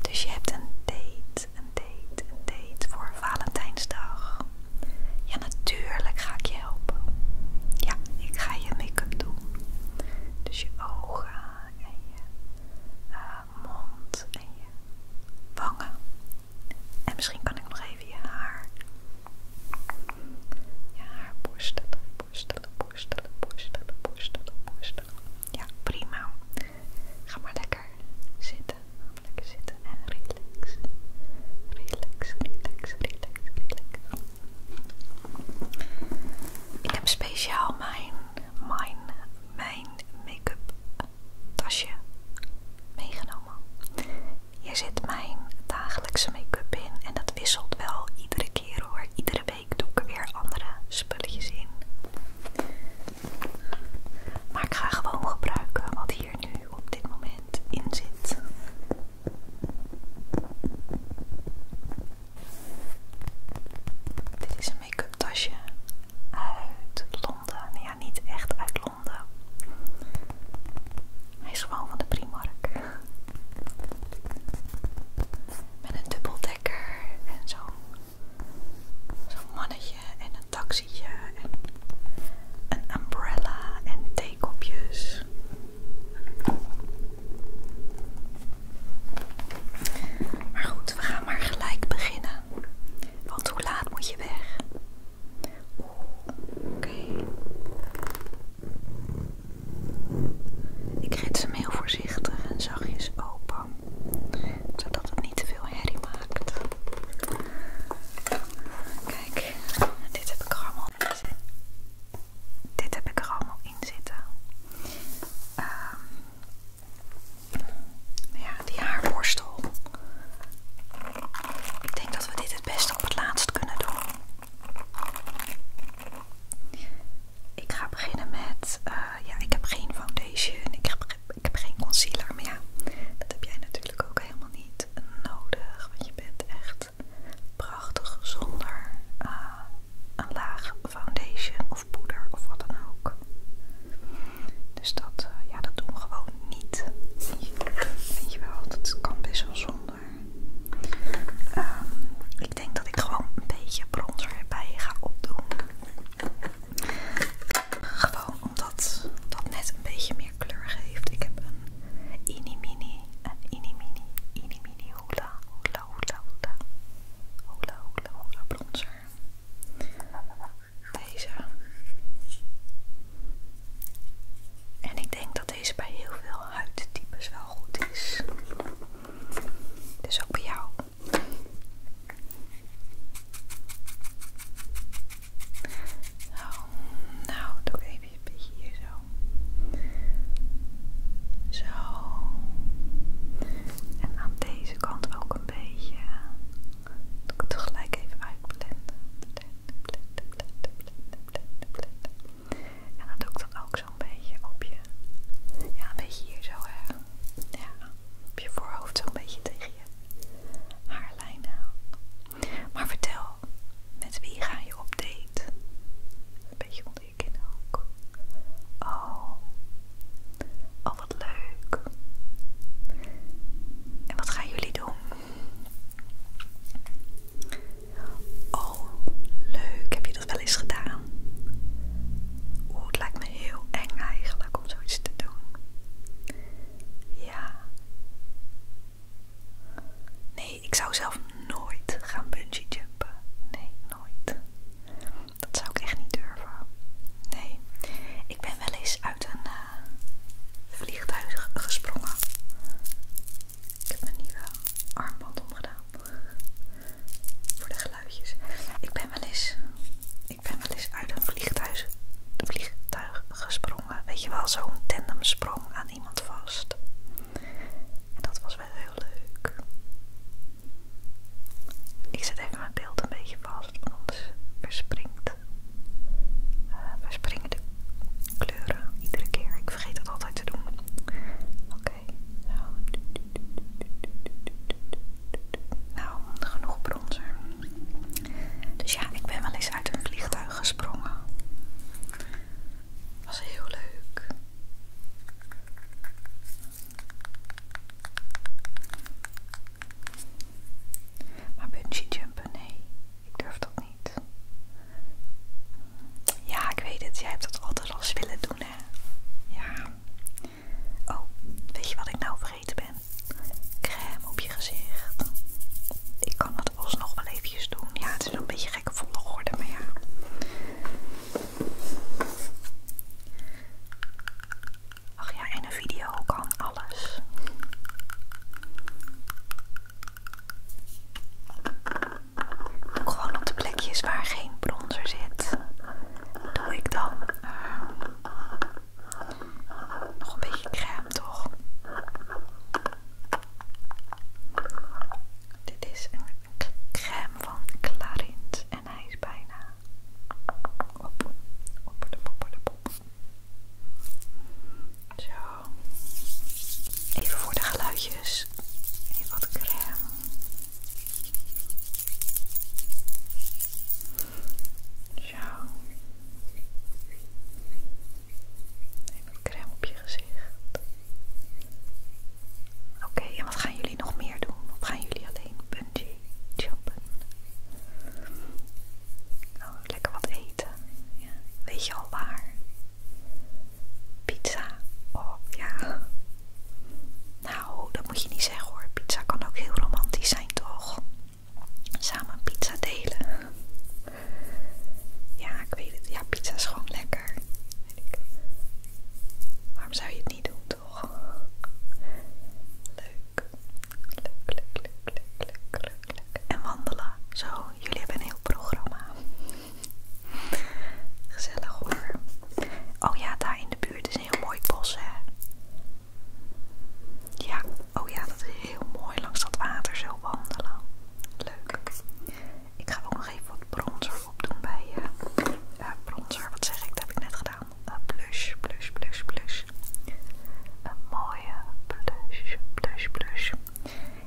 Dus je hebt een date, een date, een date voor Valentijnsdag. Ja, natuurlijk ga ik je helpen. Ja, ik ga je make-up doen. Dus je ogen en je eh, mond en je wangen. En misschien kan ik nog even je haar. Je haar borstelen, borstelen, borstelen, borstelen, borstelen, borstelen. Ja, prima. Ga maar lekker zitten. Lekker zitten en relax. Relax, relax, relax, relax. Ik heb speciaal mijn, mijn, mijn make-up tasje meegenomen. Hier zit mijn dagelijkse make-up in en dat wisselt wel iedere keer hoor, iedere week ik doe ook weer andere spulletjes in. Maar ik ga gewoon gebruiken wat hier nu op dit moment in zit. Dit is een make-up tasje uit Londen. Ja, niet echt uit Londen. Hij is gewoon van de Primark. Met een dubbeldekker en zo. Zo'n mannetje en een taxietje en een umbrella en theekopjes. Maar goed, we gaan maar gelijk beginnen. Want hoe laat moet je weg? Oeh, oké. Ik Ik ze hem voor voorzichtig en zachtjes open, zodat het niet te veel herrie maakt. Kijk, dit heb ik er allemaal in zitten. Dit heb ik er allemaal in zitten. Ehm, ja, die haarborstel. Ik denk dat we dit het beste op het laatst kunnen doen. Ik ga beginnen met, eh, ja, ik heb geen foundation, ik heb, ik heb geen concealer, maar ja, dat heb jij natuurlijk ook helemaal niet nodig, want je bent echt prachtig zonder eh, een laag foundation of poeder of wat dan ook. Dus dat, eh, ja, dat doen we gewoon niet. Vind je, wel, dat kan best wel zonder. ik ehm, ik denk dat ik gewoon een beetje bronzer erbij ga opdoen. Gewoon omdat dat net een beetje meer kleur geeft. Ik heb een inimini, een inimini, inimini hula, hula, hula, hula, hula, hula, hula bronzer. Deze. En ik denk dat deze bij heel veel huidtypes wel goed is. Dus ook bij jou. Nou, nou, doe ik even een beetje hier zo. Zo. En aan deze kant ook een beetje. Doe ik het gelijk even uitblenden. En dat doe ik dan ook zo'n beetje op je, ja een beetje hier zo hè, ja, op je voorhoofd zo'n beetje tegen je haarlijn aan. Maar vertel, met wie ga je op date? Een beetje onder je kin ook. Oh, oh wat leuk. En wat gaan jullie doen? Oh, leuk. Heb je dat wel eens gedaan? Oeh, het lijkt me heel eng eigenlijk om zoiets te doen. Ja. Nee, ik zou zelf nooit gaan bungee jumpen. Nee, nooit. Dat zou ik echt niet durven. Nee. Ik ben wel eens uit een eh, vliegtuig gesprongen. Ik heb mijn nieuwe armband omgedaan. Voor de geluidjes. Ik ben wel eens, ik ben uit een vliegtuig, vliegtuig gesprongen. Weet je wel, zo'n tandemsprong aan iemand vast. En dat was wel heel leuk. Ik zet even mijn beeld een beetje vast, want anders verspringt. Eh, springen de kleuren iedere keer. Ik vergeet dat altijd te doen. Oké nou. genoeg bronzer. Dus ja, ik ben wel eens uit een vliegtuig gesprongen. Was heel leuk. Maar bungee jumpen, nee, ik durf dat niet. Ja, ik weet het. Jij hebt dat altijd al willen doen, hè? Ja. Oh, weet je wat ik nou vergeten ben? Crème op je gezicht. Ik kan dat alsnog wel eventjes doen. Ja, het is een beetje gekke volgorde, maar ja. Ach ja, en een video kan alles. Gewoon op de plekjes waar geen bronzer zit, doe ik dan ehm, nog een beetje crème, toch? Dit is een crème van Clarins en hij is bijna Zo. Even voor de geluidjes. Even wat crème. Zo. Even wat crème op je gezicht. Oké, en wat gaan jullie nog meer doen? Of gaan jullie alleen puntje jumpen? Nou, lekker wat eten. Weet je al waar? Pizza. Oh ja. Nou, dat moet je niet zeggen hoor. Pizza kan ook heel romantisch zijn, toch? Samen pizza delen. Ja, ik weet het. Ja, pizza is gewoon lekker. Weet Waarom zou je het niet doen, toch? Leuk. Leuk, leuk, leuk, leuk, leuk. En wandelen. Zo, jullie hebben een heel programma. Gezellig hoor. Oh ja, daar in de buurt is een heel mooi bos, hè? Ja, oh ja, dat is heel mooi langs dat water zo wandelen. Leuk. Ik ga ook nog even wat bronzer opdoen bij eh, je. bronzer, wat zeg ik? Dat heb ik net gedaan. Plus, eh, blush, blush, blush, blush. Een mooie blush, blush, blush.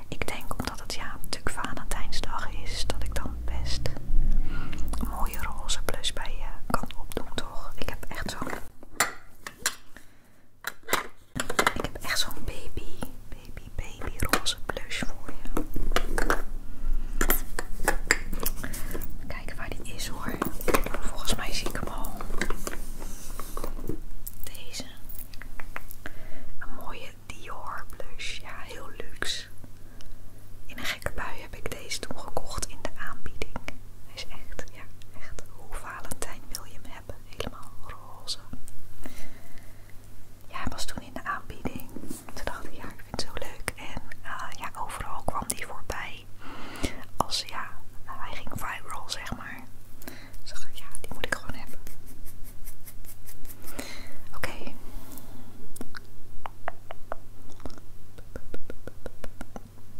Ik denk omdat het ja natuurlijk Valentijnsdag is, dat ik dan best een mooie roze blush bij je kan opdoen, toch? Ik heb echt zo'n. Ik heb echt zo'n baby, baby, baby roze blush voor je. Kijken waar die is hoor. Volgens mij zie ik hem al. Deze. Een mooie Dior blush. Ja, heel luxe. In een gekke bui heb ik deze toen gekocht in de aanbieding. Hij is echt, ja, echt hoe Valentijn wil je hem hebben. Helemaal roze. Ja, hij was toen in de aanbieding. Toen dacht ik, ja, ik vind het zo leuk. En eh, ja, overal kwam die voorbij. Als ja, hij ging viral, zeg maar maar. Dus ik ja, die moet ik gewoon hebben. Oké.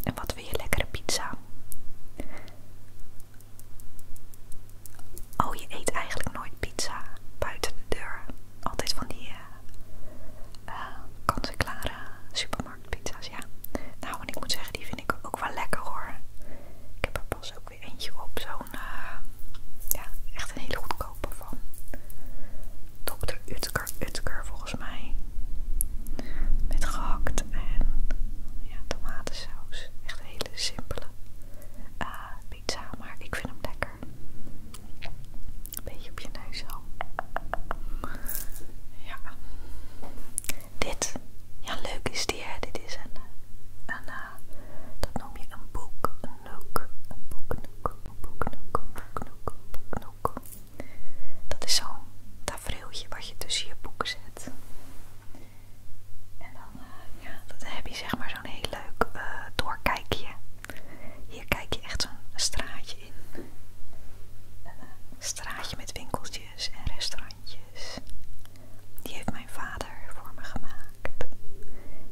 En wat wil je lekkere pizza? Oh, je eet eigenlijk nooit pizza buiten de deur. Altijd van die uh, kant-en-klare supermarktpizza's, ja. Nou, en ik moet zeggen, die ik ook wel lekker hoor. Ik heb er pas ook weer eentje op. Zo'n, nou, ja, echt een hele goedkope van dokter Utker, Utker volgens mij. Met gehakt en tomatensaus. Echt een hele simpele eh, pizza, maar ik vind hem lekker. Een beetje op je neus al. Ja. Dit, ja leuk is die hè, dit is een, een eh, dat noem je een boek een nook een boeknoek, een nook een nook Dat is zo'n tafereeltje wat je tussen je boeken zet. En dan, eh, ja, dat heb je zeg maar zo'n heel leuk eh, doorkijkje. Hier kijk je echt zo'n straatje in. Een straatje met winkeltjes en restaurants. Die heeft mijn vader voor me gemaakt.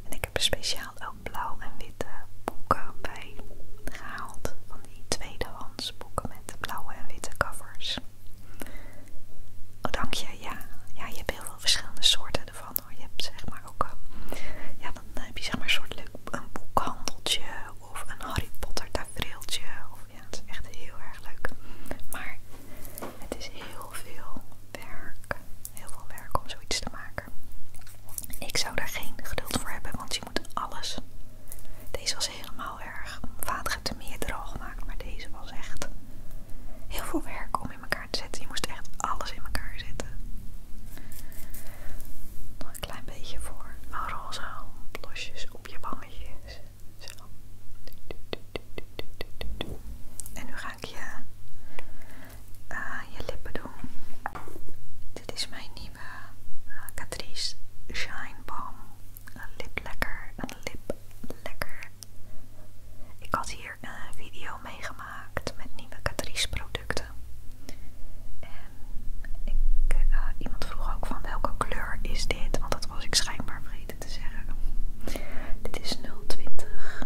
En ik heb er speciaal ook blauw en witte boeken bij gehaald. Van die tweedehands boeken met blauwe en witte covers. Oh, dank je. Ja, ja je hebt heel veel verschillende soorten ervan hoor. Je hebt zeg maar ook. Eh, ja, dan heb je zeg maar een soort leuk een boekhandeltje of een Harry Potter tafereeltje. Of, ja, het is echt heel erg leuk. Maar het is heel veel werk. Heel veel werk om zoiets te maken. Ik zou daar geen geduld voor hebben, want je moet alles. Deze was helemaal erg. Vader te meer meerdere al gemaakt, maar deze was echt heel veel werk om in elkaar te zetten. Je moest echt alles in elkaar zetten. Nog een klein beetje voor een roze blosjes op je bangetjes. En nu ga ik je, eh, je lippen doen. Dit is mijn nieuwe eh, Catrice Shine Balm. Een lip een lip lekker. Ik had hier een video meegemaakt met nieuwe Catrice producten. En ik, eh, iemand vroeg ook van welke kleur is dit, want dat was ik schijnbaar vergeten te zeggen. Dit is 020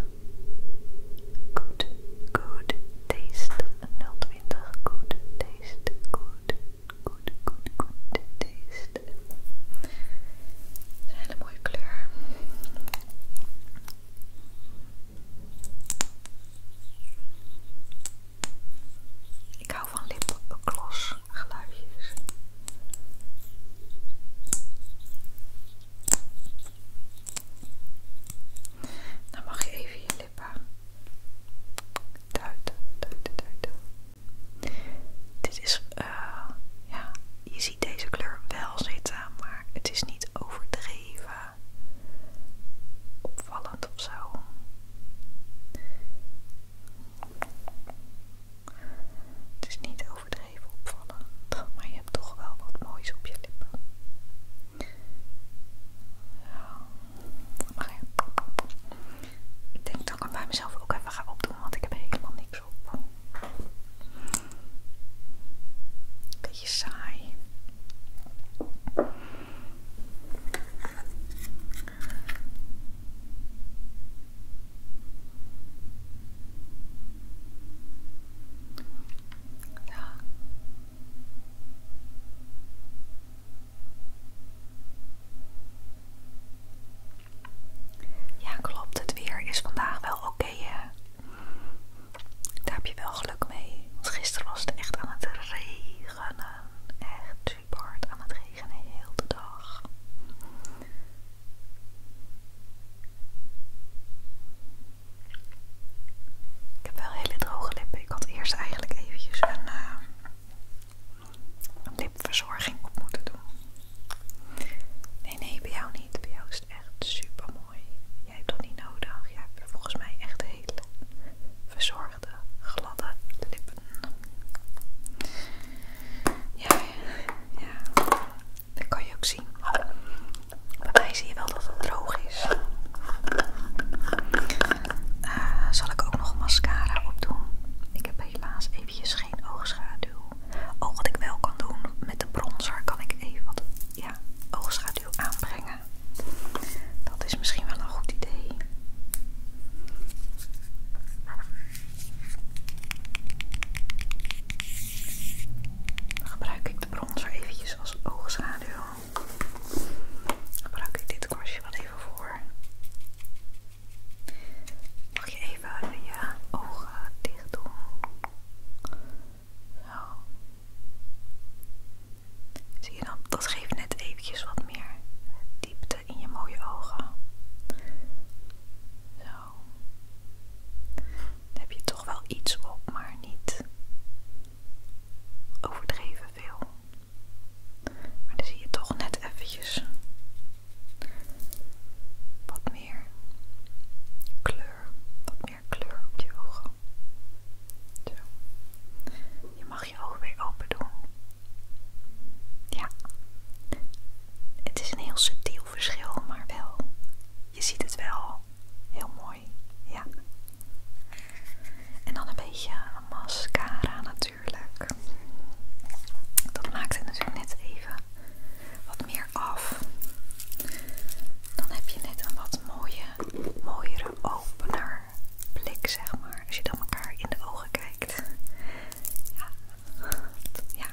Good, good taste 020 Good taste, good, good, good, good taste een hele mooie kleur. Ik hou van lipgloss geluidjes. Dan mag je even je lippen duiten, duiten, duiten. Dit is, eh. ja, je ziet deze kleur wel zitten, maar het is niet overdreven opvallend of zo. Het is niet overdreven opvallen, maar je hebt toch wel wat moois op je lippen. Ja. Maar Ik denk dat ik hem bij mezelf ook even ga opdoen, want ik heb helemaal niks op. Beetje saai. Ja. klopt. Het weer is vandaag wel oké, hè? Daar heb je wel geluk mee. Want gisteren was het echt aan het regenen echt super hard aan het regenen heel de dag. Ik heb wel hele droge lippen. Ik had eerst eigenlijk eventjes een, eh, lipverzorging op moeten doen. Nee, nee, bij jou niet. Bij jou is het echt super mooi. Jij hebt toch niet nodig. Jij hebt volgens mij echt hele verzorging de gladde lippen. Ja, ja, dat kan je ook zien. Bij mij zie je wel dat het droog is. Eh, zal ik ook nog mascara opdoen? Ik heb helaas eventjes geen oogschaduw. Oh, wat ik wel kan doen met de bronzer kan ik even wat ja, oogschaduw aanbrengen dat is misschien wel een goed idee. Dan gebruik ik de bronzer eventjes als oogschaduw. Gebruik ik dit kwastje wel even voor. Mag je even je ogen dicht doen? Zo. Zie je dan, dat geeft net eventjes wat meer diepte in je mooie ogen. Zo. Dan heb je toch wel iets op, maar niet overdreven veel. Maar dan zie je toch net eventjes wat meer kleur, meer kleur op je ogen. Zo. Je mag je ogen weer open doen. Ja. Het is een heel subtiel verschil, maar wel. Je ziet het wel. Heel mooi. Ja. En dan een beetje mascara natuurlijk. Dat maakt het natuurlijk net even wat meer af. Dan heb je net een wat mooie, mooie opener blik, zeg maar. Als je dan elkaar in de ogen kijkt. Ja,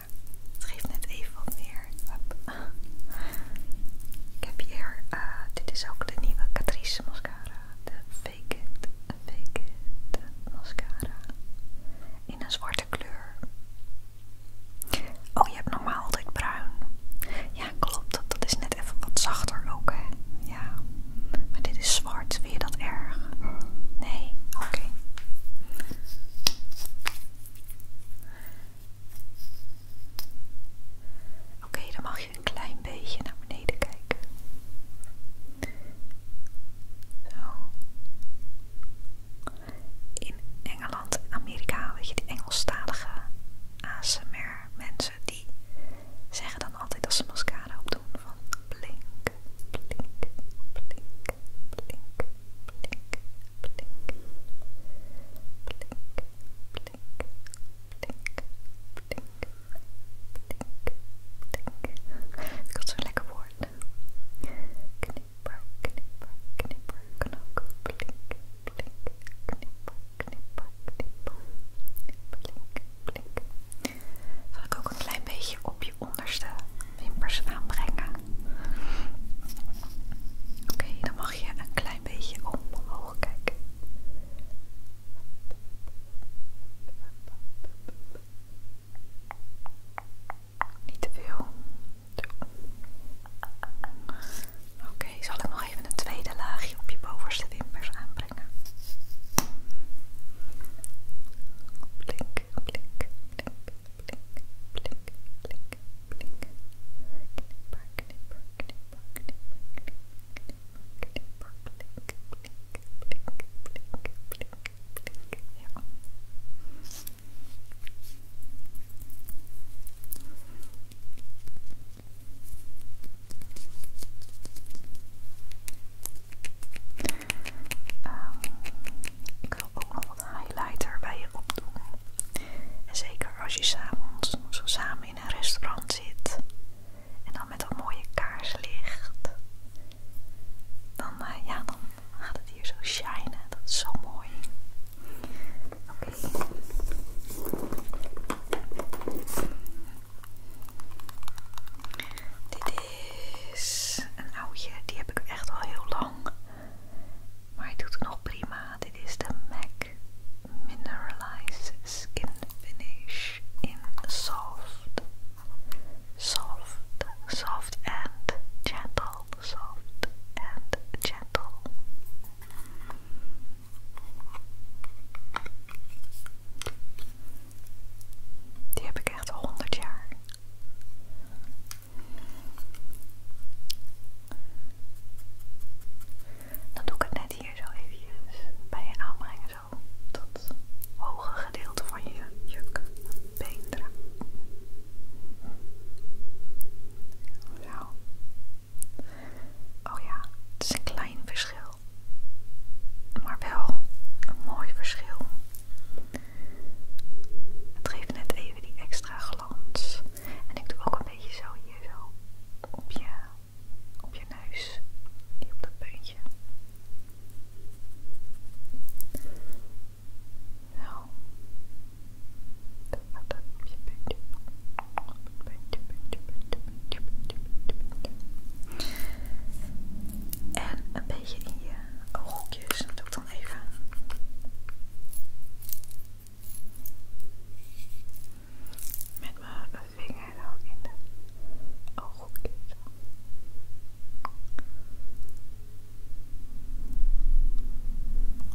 het geeft net even wat meer. Ik heb hier, eh, dit is ook de nieuwe Catrice mascara. De Fake It, Fake It mascara. In een zwarte kleur. Oh, je hebt normaal altijd bruin. Ja, klopt. Dat is net even wat zachter ook, hè? Ja. Maar dit is zwart. Vind je dat erg? Nee? Oké. Oké, dan mag je een klein beetje naar beneden kijken. Zo. In Engeland Amerika, weet je, die Engelstalige ASMR maar mensen die zeggen dan altijd als ze mascara opdoen van blink, blink, blink, blink, blink, blink, blink, blink, blink, blink, blink, Ik had zo'n lekker woord. Knipper, knipper, knipper, kan ook blink, blink, knipper knippen, knippen, blink, blink. Zal ik ook een klein beetje op je onderste wimpers aanbrengen? Oké, dan mag je een klein beetje omhoog kijken. Niet te veel. Oké, ik zal ik nog even een tweede laagje op je bovenste wimpers aanbrengen? Blink, blink, blink, Ehm, ik wil ook nog wat highlighter bij je opdoen. En zeker als je s'avonds zo samen in een restaurant zit en dan met dat mooie kaarslicht, dan, eh, ja, dan gaat het hier zo shinen. Dat is zo mooi. Oké. Dit is een oudje, die heb ik echt al heel lang. Maar hij doet nog prima. Dit is de MAC Mineralized Skin Finish in Soft. Soft, soft and gentle soft and gentle. Die heb ik echt al 100 jaar. Dan doe ik het net hier zo even bij je aanbrengen, zo tot het hoge gedeelte van je juk, Oh ja, het is een klein verschil. Maar wel een mooi verschil. Het geeft net even die extra glans. En ik doe ook een beetje zo hier zo op je, op je neus. Hier op dat puntje. En een beetje in je ooghoekjes. Dat doe dan even. Met mijn vinger dan in de ooghoekjes.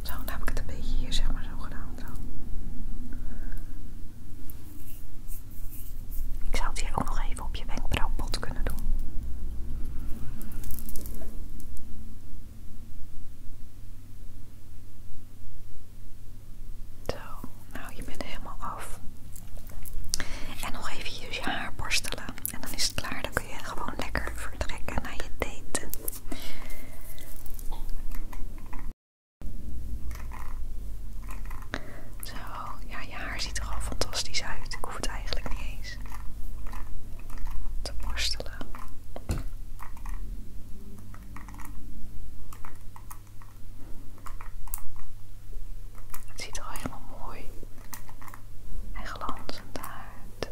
Zo, dan heb ik het een beetje hier zeg maar zo gedaan. Zo. Ik zou het hier ook nog even op je wenkbrauwpot kunnen doen. Zo, nou je bent helemaal af. En nog even je haar borstelen. En dan is het klaar. Dan kun je gewoon lekker vertrekken naar je date. Zo, ja, je haar ziet er al fantastisch uit. Ik hoef het eigenlijk niet eens te borstelen. Het ziet er al helemaal mooi en glanzend uit.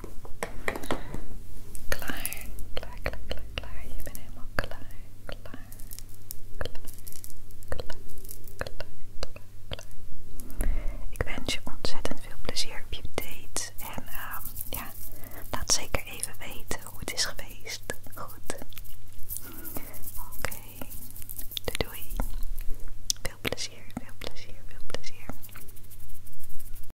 Klaar, klaar, klaar, klaar, klaar. Je bent helemaal klaar, klaar, klaar, klaar, klaar, klaar, klaar. Ik wens je ontzettend veel plezier op je date. En ehm, ja, laat zeker even weten hoe het is geweest. Goed. Oké. doei. Veel plezier, veel plezier, veel plezier.